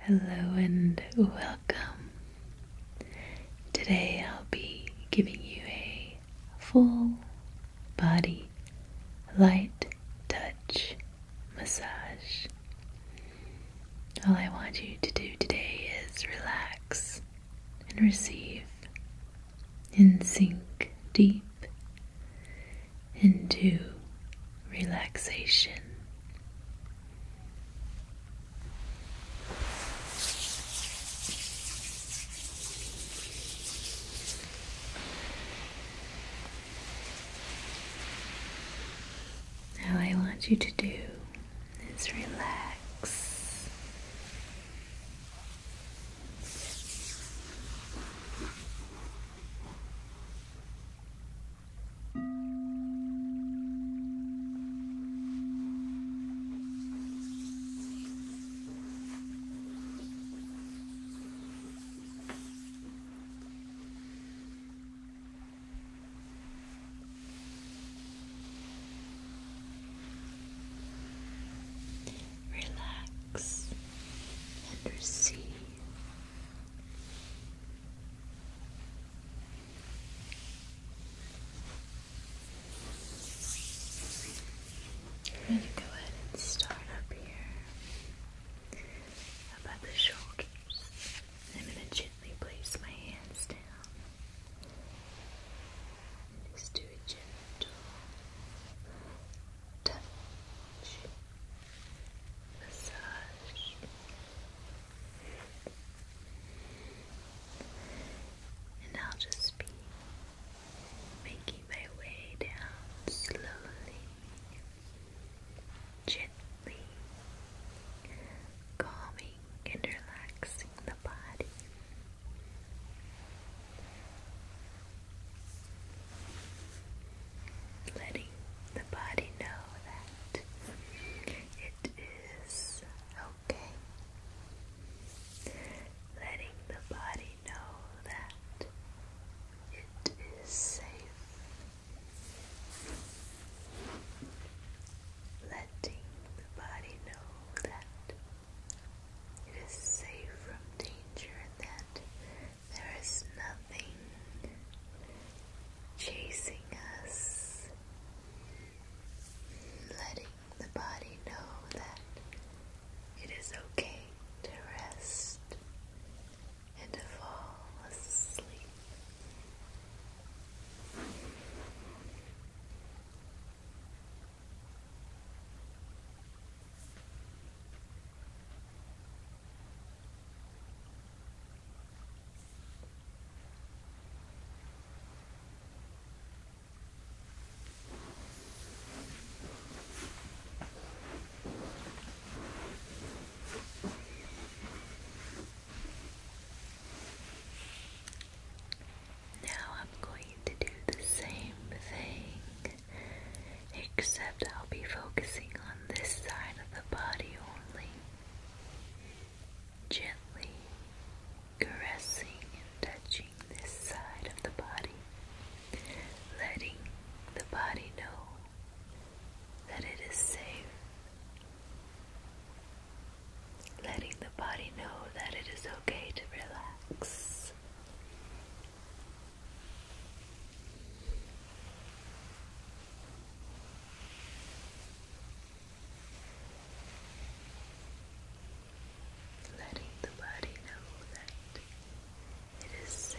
Hello and welcome. Today I'll be giving you a full body light touch massage. All I want you to do today is relax and receive and sink deep into relaxation. All I want you to do is relax. Relax and receive I'm going to go ahead and start up here about the shoulders. I'm going to gently place my hands down. just do a gentle touch massage and I'll just be making my way down slowly gently calming and relaxing the body letting the body know that it is okay, letting the body know that it is safe, letting the body know that. It is safe from danger and that there is nothing chasing us, letting the body know that it is okay to rest and to fall asleep. Now I'm going to do the same thing except I'll be focusing on this side of the body only. Gently caressing and touching this side of the body, letting the body know that it is safe, letting the body know that it is okay to relax. Letting the body know that it is safe.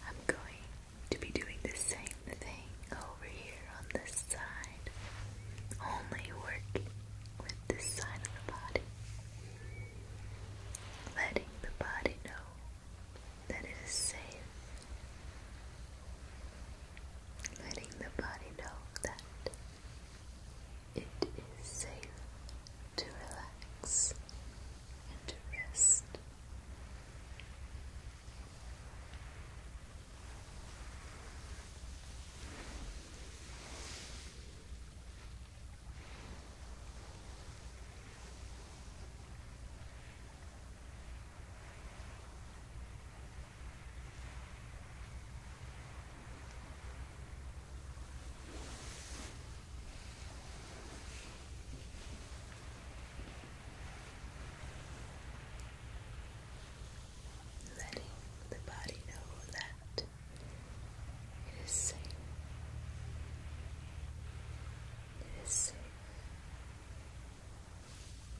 I'm going to be doing the same thing over here on this side, only working with this side of the body letting the body know that it is safe, letting the body know that it is safe to relax and to rest. Letting the body know that it is safe.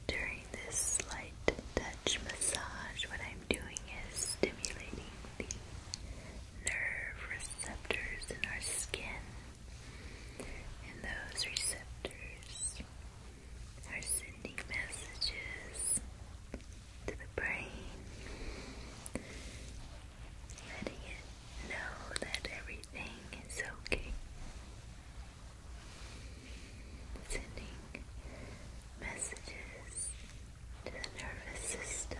During this light touch massage, what I'm doing is stimulating the nerve receptors in our skin, and those receptors are sending messages to the brain, letting it know that everything is okay. Sending messages to the nervous system.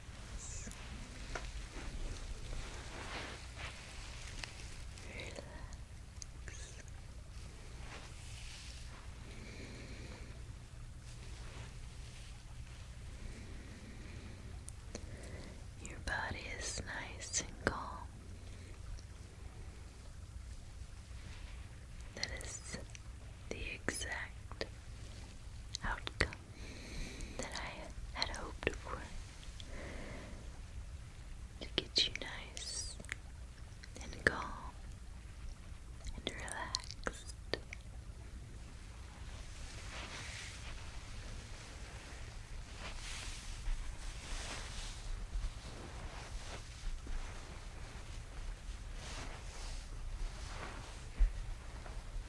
Your body is nice and calm. That is the exact outcome that I had hoped for to get you nice and calm and relaxed.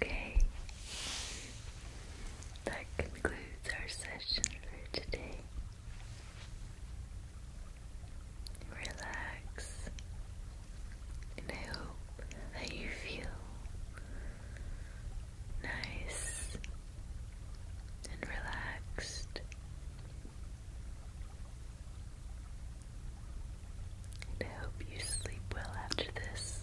Okay, that concludes our session for today. Relax, and I hope that you feel nice and relaxed. I hope you sleep well after this.